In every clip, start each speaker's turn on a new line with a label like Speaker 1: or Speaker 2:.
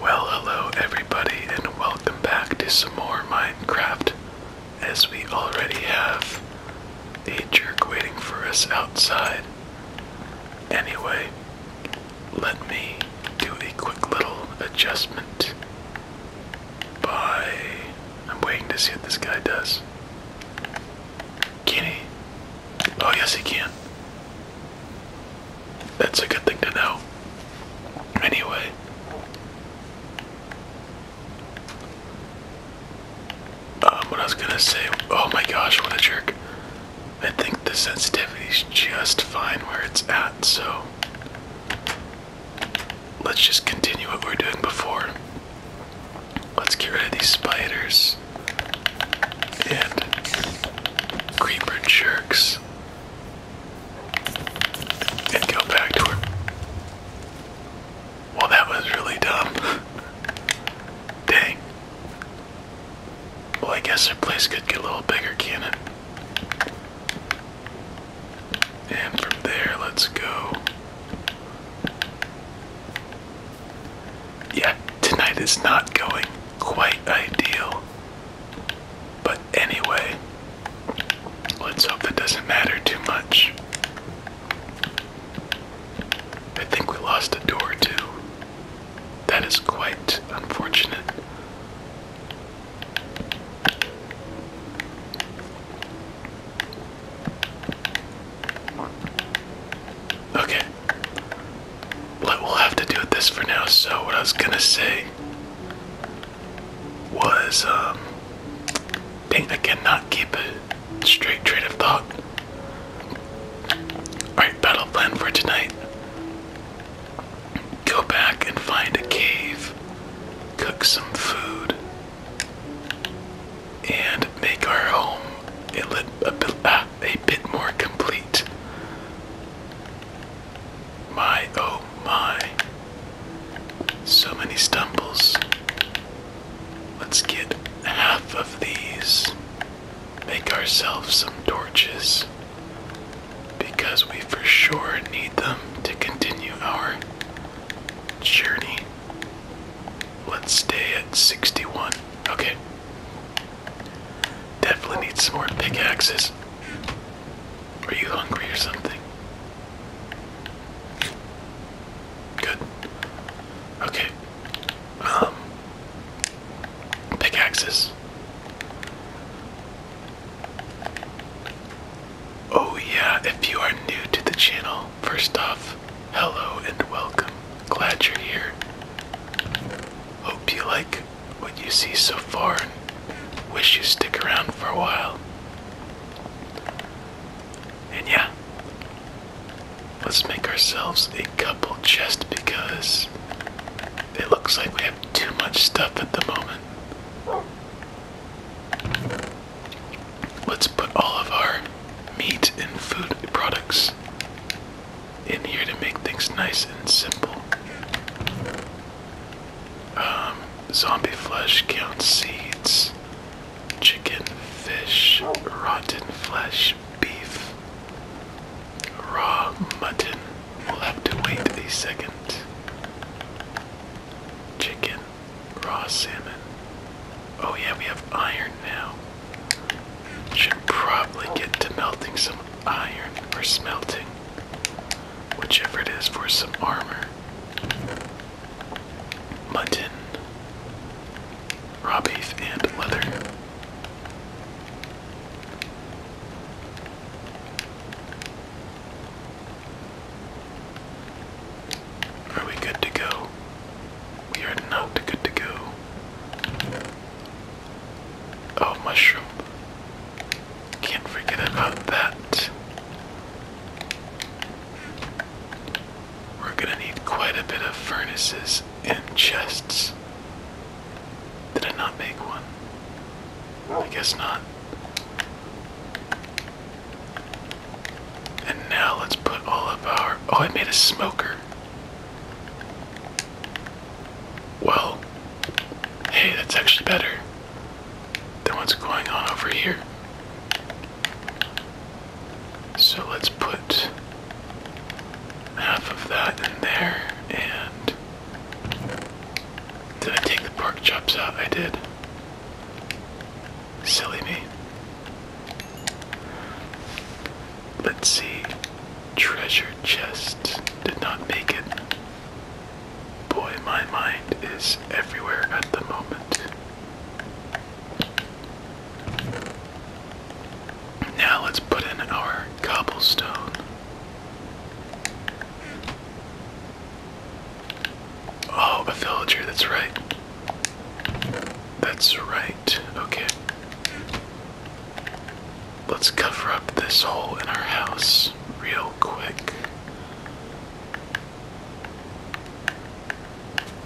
Speaker 1: Well, hello everybody, and welcome back to some more Minecraft. As we already have a jerk waiting for us outside. Anyway, let me do a quick little adjustment by. I'm waiting to see what this guy does. Kitty, Oh, yes, he can. That's a good thing to know. Anyway. Um, what I was gonna say, oh my gosh, what a jerk. I think the sensitivity's just fine where it's at, so let's just continue what we were doing before. Let's get rid of these spiders and Creeper jerks and go back to her. Well, that was really dumb. Dang. Well, I guess their place could get a little bigger, can it? And from there, let's go yeah, tonight is not going quite ideal. But anyway, let's hope that doesn't matter too much. I think we lost a door too. That is quite unfortunate. Okay, but we'll have to do this for now. So, what I was gonna say was, um, I cannot keep a straight train of thought. Alright, battle plan for tonight go back and find a cave, cook some food, and make our home a, a, a a bit more complete. My oh my. So many stumbles. Let's get half of these. Make ourselves some torches. Because we for sure need them to continue our journey. Let's stay at 61. Okay. Definitely need some more pickaxes. Are you hungry or something? Good. Okay. Um. Pickaxes. Oh, yeah, if you are new to the channel, first off, hello and welcome. Glad you're here. Hope you like what you see so far and wish you stick around for a while. And yeah, let's make ourselves a couple just because it looks like we have too much stuff at the moment. Let's put all of our meat and food products in here to make things nice and simple. Um, zombie flesh counts seeds, chicken, fish, rotten flesh, beef, raw mutton. We'll have to wait a second. Chicken, raw salmon. Oh, yeah, we have iron now. Should probably get to melting some iron or smelting, whichever it is, for some armor. Mutton, raw beef, and leather. Are we good to go? We are not good to go. Oh, mushroom. Can't forget about that. We're gonna need quite a bit of furnaces and chests. Did I not make one? I guess not. And now let's put all of our. Oh, I made a smoker. Well, hey, that's actually better than what's going on over here. So let's put half of that in there and. Did I take the pork chops out? I did. Silly me. Let's see. Treasure chest did not make it. Boy, my mind is everywhere at the moment. Now let's put in our cobblestone. Oh, a villager, that's right. That's right. Okay. Let's cover up this hole in our house real quick.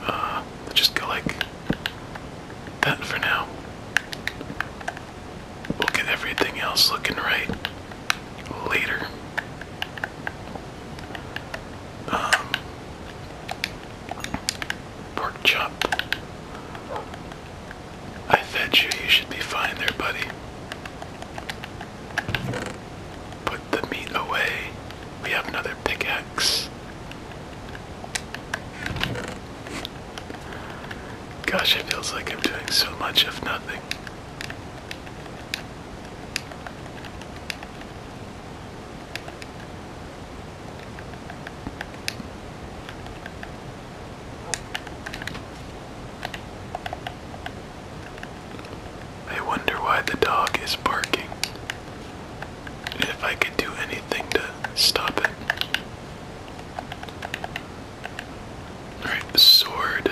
Speaker 1: Uh, just go like that for now. We'll get everything else looking right later. Um, Pork chop. I fed you. You should be fine there, buddy. Put the meat away. We have another pickaxe. Gosh, it feels like I'm doing so much of nothing. I wonder why the dog is barking. If I could do anything to stop it. Alright, sword.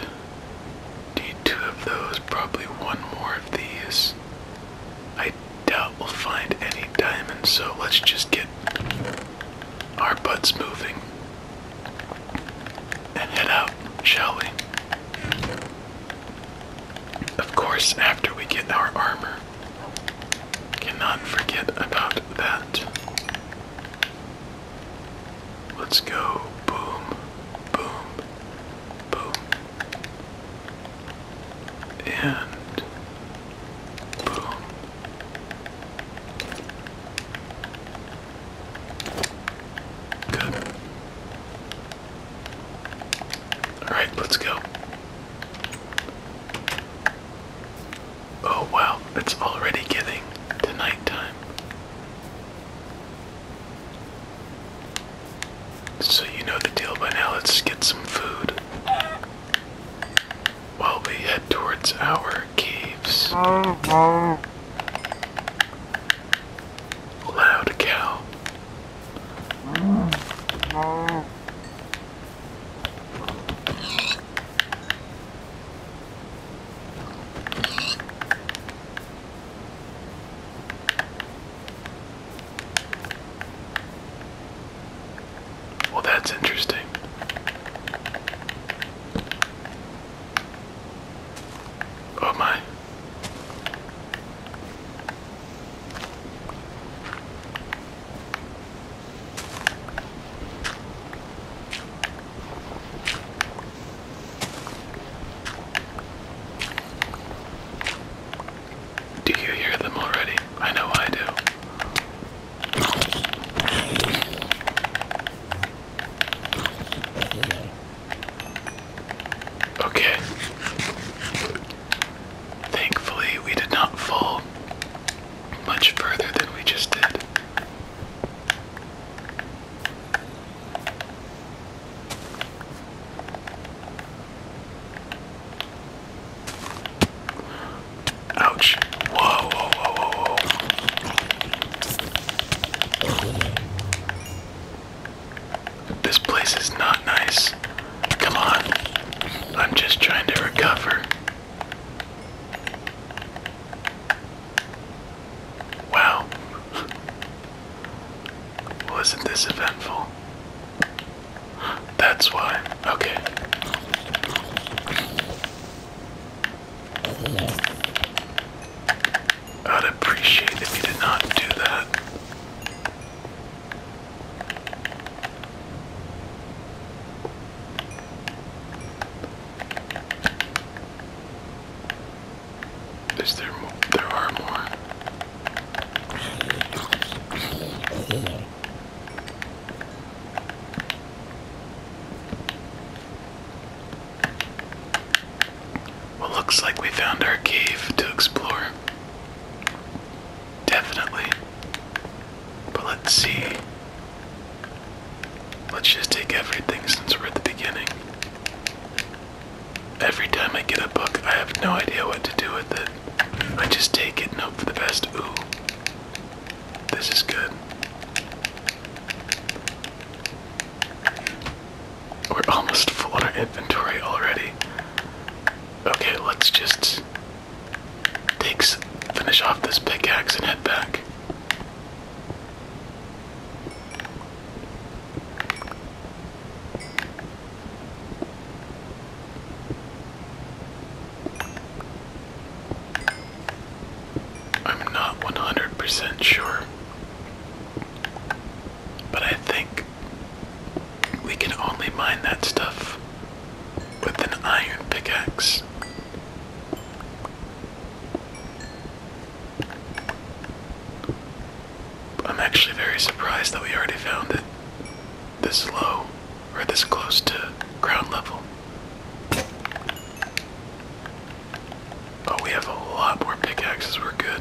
Speaker 1: Need two of those, probably one more of these. I doubt we'll find any diamonds, so let's just get our butts moving and head out, shall we? Of course, after we get our armor, cannot forget about that. Let's go boom, boom, boom and boom. Good. All right, let's go. Oh wow, it's already getting to nighttime. So you know the deal by now, let's get some food. While we head towards our caves. Loud cow. Well, that's interesting. Oh, my. Do you hear them already? I know I do. Okay. Thankfully, we did not fall much further than we just did. Ouch. Whoa, whoa, whoa, whoa, whoa. This place is not nice. Come on. I'm just trying to recover. Wow. Wasn't this eventful? That's why. Okay. I'd appreciate if you did not do that. Is there more? There are more. Well, looks like we found our cave to explore. Definitely. But let's see. Let's just take everything since we're at the beginning. Every time I get a book, I have no idea what to do with it. I just take it and hope for the best. Ooh, this is good. We're almost full on our inventory already. Okay, let's just finish off this pickaxe and head back. I'm not 100% sure, but I think we can only mine that stuff with an iron pickaxe. I'm actually very surprised that we already found it this low or this close to ground level. Oh, we have a lot more pickaxes, we're good.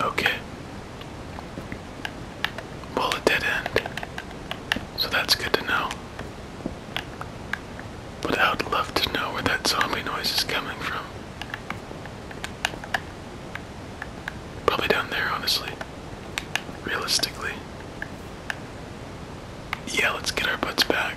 Speaker 1: Okay. Well, it did end. So that's good to know. But I would love to know where that zombie noise is coming from. Probably down there, honestly. Realistically. Yeah, let's get our butts back.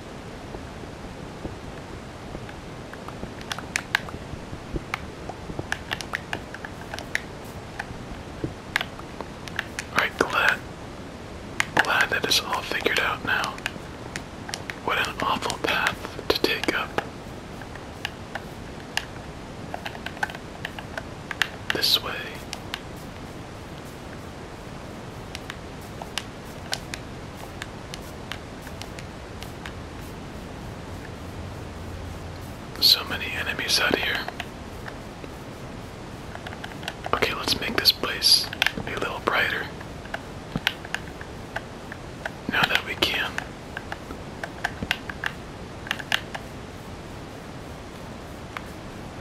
Speaker 1: Alright, glad. Glad that it's all figured out now. What an awful path to take up. This way. So many enemies out here. Okay, let's make this place a little brighter. Now that we can.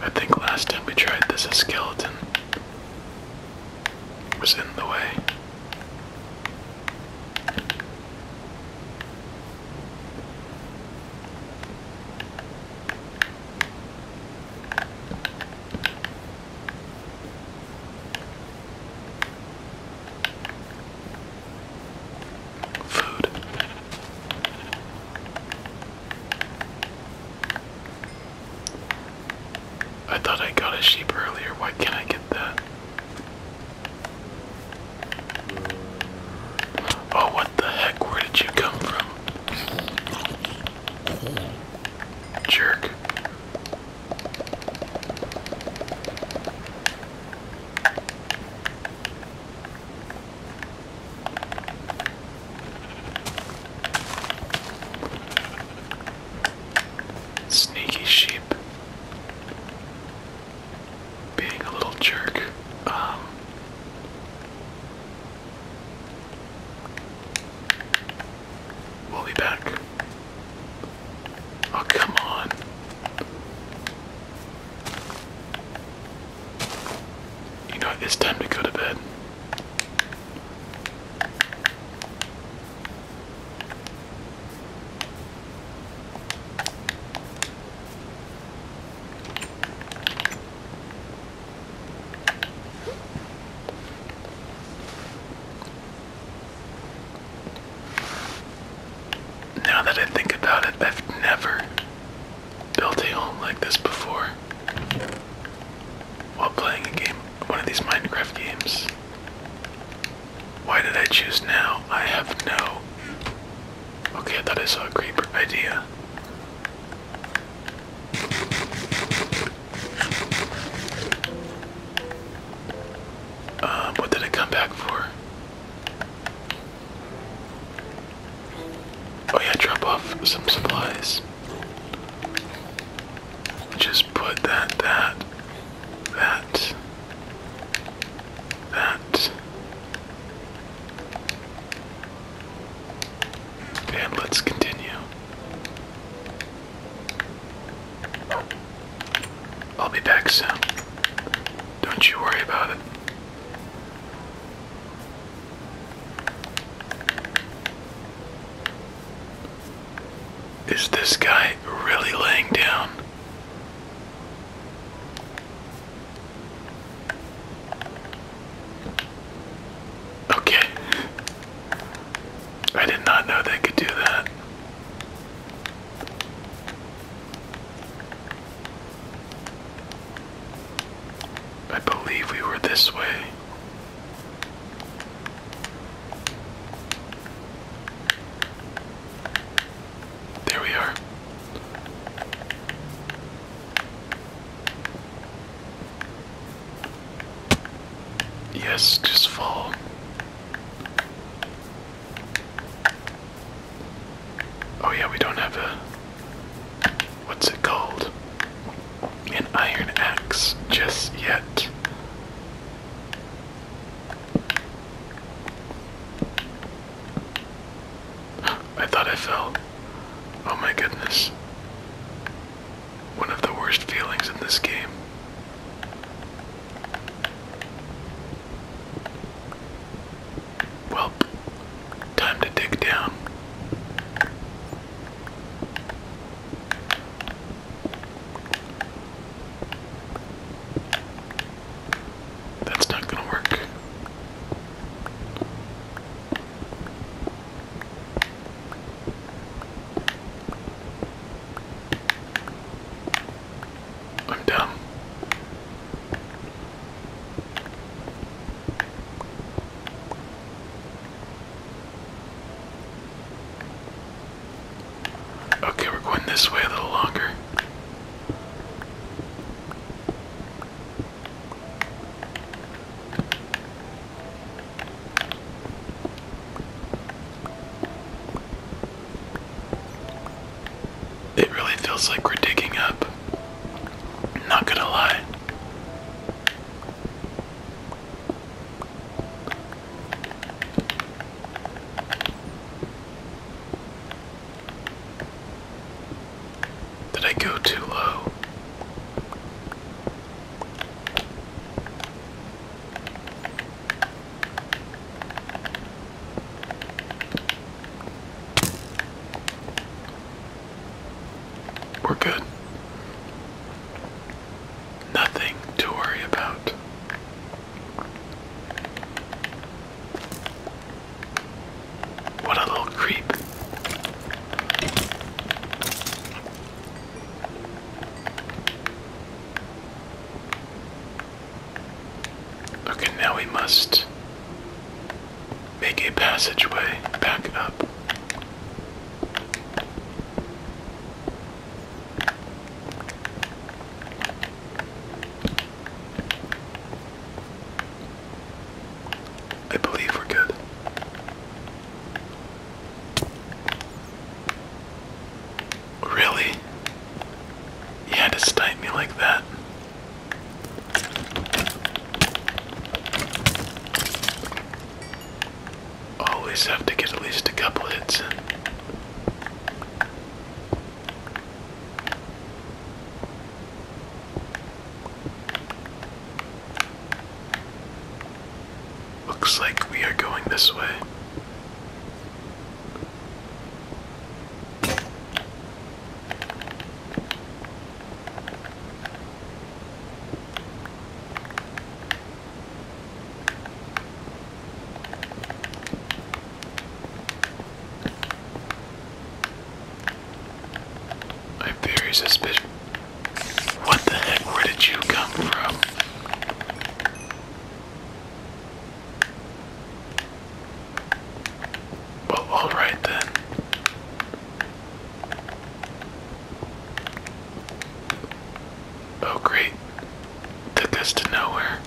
Speaker 1: I think last time we tried this, a skeleton was in the way. Food. I thought I got a sheep earlier. Why can't I get that? Oh, what the heck? Where did you come from? Jerk. Sneaky sheep. Being a little jerk. Um, we'll be back. Oh, come on. You know, it's time to go to bed. Now that I think about it, I've never built a home like this before while playing a game, one of these Minecraft games. Why did I choose now? I have no. Okay, I thought I saw a creeper idea. Um, what did it come back for? Oh yeah, drop off some supplies. Just put that, that, that, that. And let's continue. I'll be back soon. Don't you worry about it. Is this guy really laying down? Okay. I did not know they could do that. I believe we were this way. There we are. Yes, just follow. Oh, yeah, we don't have a what's it called? An iron axe just yet. I thought I fell. Oh my goodness. One of the worst feelings in this game. Well, time to dig down. That's not going to work. I'm dumb. Okay, we're going this way a little longer. It really feels like we're digging up up. Not gonna lie. Did I go too low? We're good. Nothing to worry about. What a little creep. Okay, now we must Make a passageway back up. I believe we're good. Really? You had to snipe me like that? Always have to get at least a couple hits Looks like we are going this way. I'm very suspicious. What the heck? Where did you come from? Well, alright then. Oh, great. Took us to nowhere.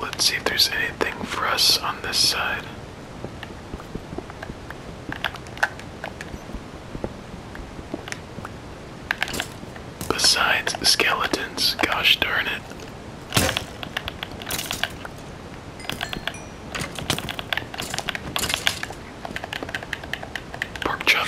Speaker 1: Let's see if there's anything for us on this side. Besides skeletons, gosh darn it. Pork chop.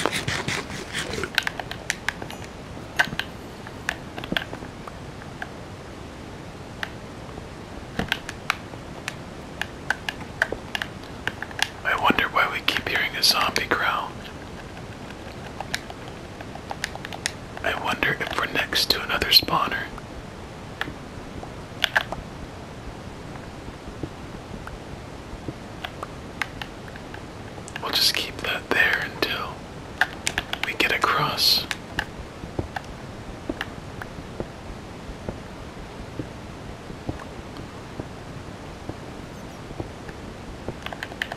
Speaker 1: I wonder why we keep hearing a zombie growl. I wonder if we're next to another spawner. We'll just keep that there until we get across.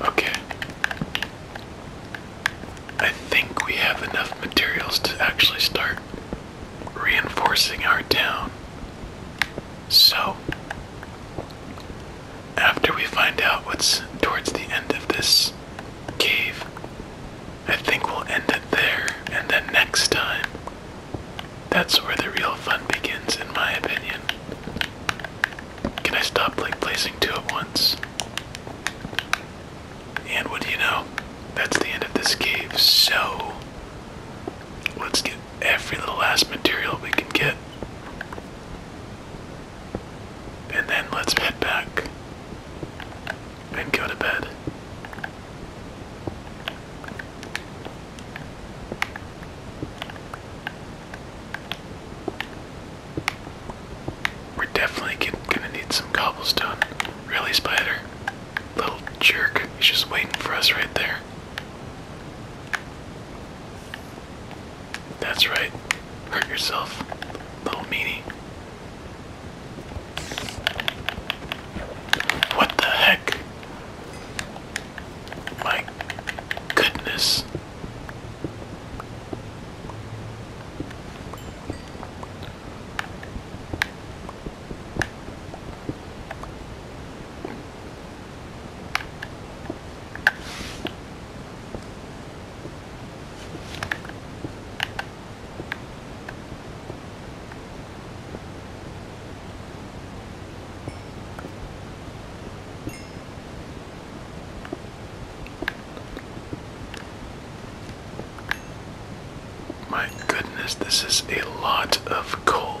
Speaker 1: Okay. I think we have enough materials to actually start reinforcing our town. So, after we find out what's towards the end of this cave, I think we'll end it there, and then next time, that's where the real fun begins, in my opinion. Can I stop like placing two at once? And what do you know? That's the end of this cave, so let's get every little last material we can get. And then let's head back and go to bed. We're definitely gonna need some cobblestone. Really, Spider? Little jerk. He's just waiting for us right there. That's right. Hurt yourself, little meanie. What the heck? My goodness. My goodness, this is a lot of coal.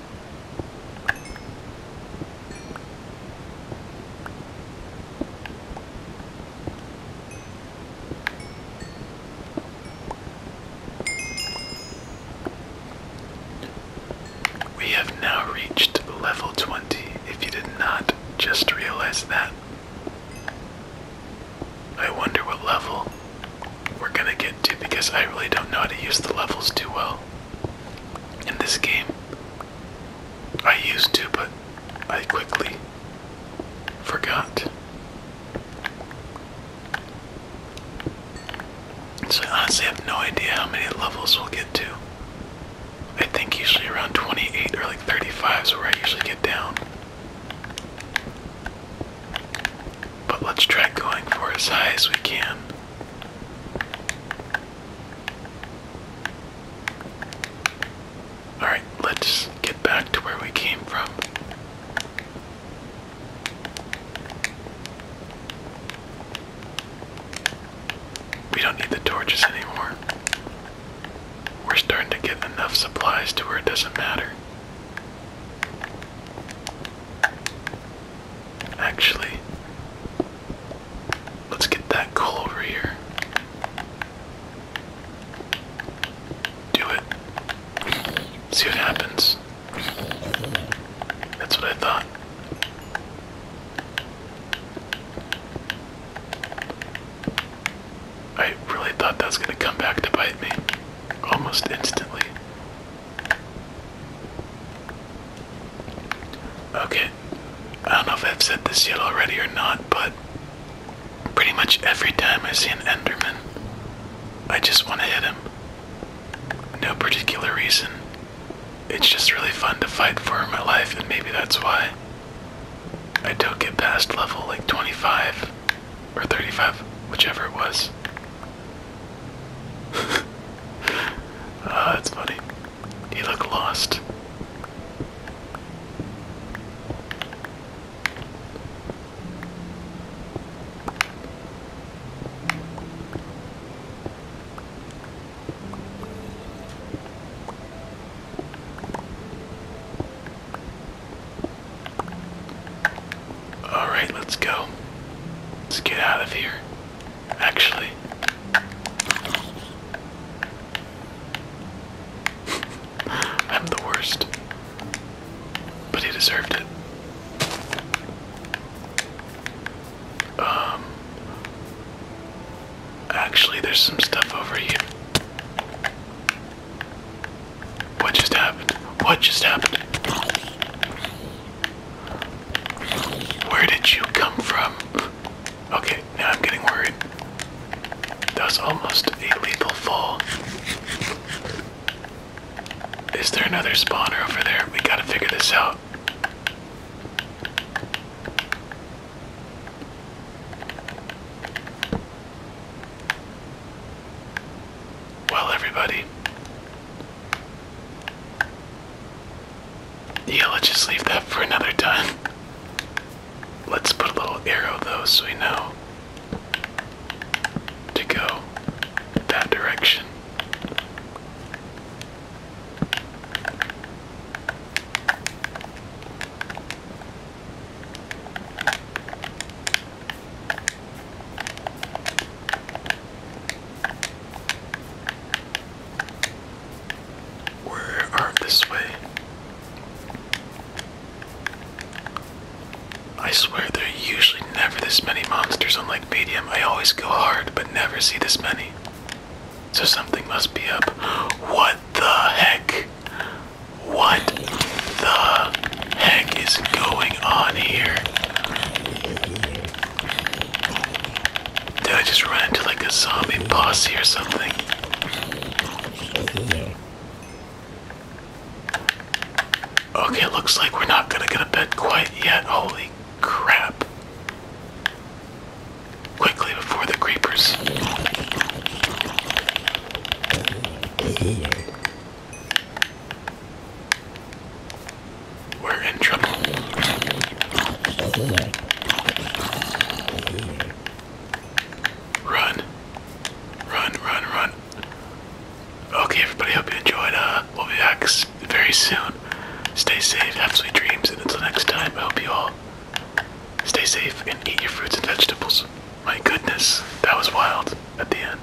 Speaker 1: We have now reached level 20, if you did not just realize that. I wonder what level we're gonna get to because I really don't know how to use the levels too well in this game. I used to, but I quickly forgot. So I honestly have no idea how many levels we'll get to. I think usually around 28 or like 35 is where I usually get down. But let's try going for as high as we can. Alright, let's get back to where we came from. We don't need the torches anymore. We're starting to get enough supplies to where it doesn't matter. Actually, let's get that cool over here. Do it. See what happens. That's what I thought. I really thought that was going to come back to bite me almost instantly. Okay, I don't know if I've said this yet already or not, but pretty much every time I see an Enderman, I just want to hit him. No particular reason. It's just really fun to fight for my life, and maybe that's why I don't get past level like 25 or 35, whichever it was uh, ah, it's funny. You look lost. All right, let's go. Let's get out of here actually. I'm the worst. But he deserved it. Um Actually there's some stuff over here. What just happened? What just happened? Where did you come from? Okay, now I'm getting worried. That was almost a lethal fall. Is there another spawner over there? We gotta figure this out. Well, everybody, yeah, let's just leave that for another time. Let's put a little arrow though so we know to go that direction. Where are this way? I swear there are usually never this many monsters on Lake Medium. I always go hard but never see this many. So something must be up. What the heck? What the heck is going on here? Did I just run into like a zombie bossy or something? Okay, looks like we're not gonna get a bed quite yet. Holy crap. Quickly before the creepers. We're in trouble. Run. Run, run, run. Okay, everybody, hope you enjoyed. Uh, we'll be back very soon. Stay safe, have sweet dreams, and until next time, I hope you all stay safe and eat your fruits and vegetables. My goodness, that was wild at the end.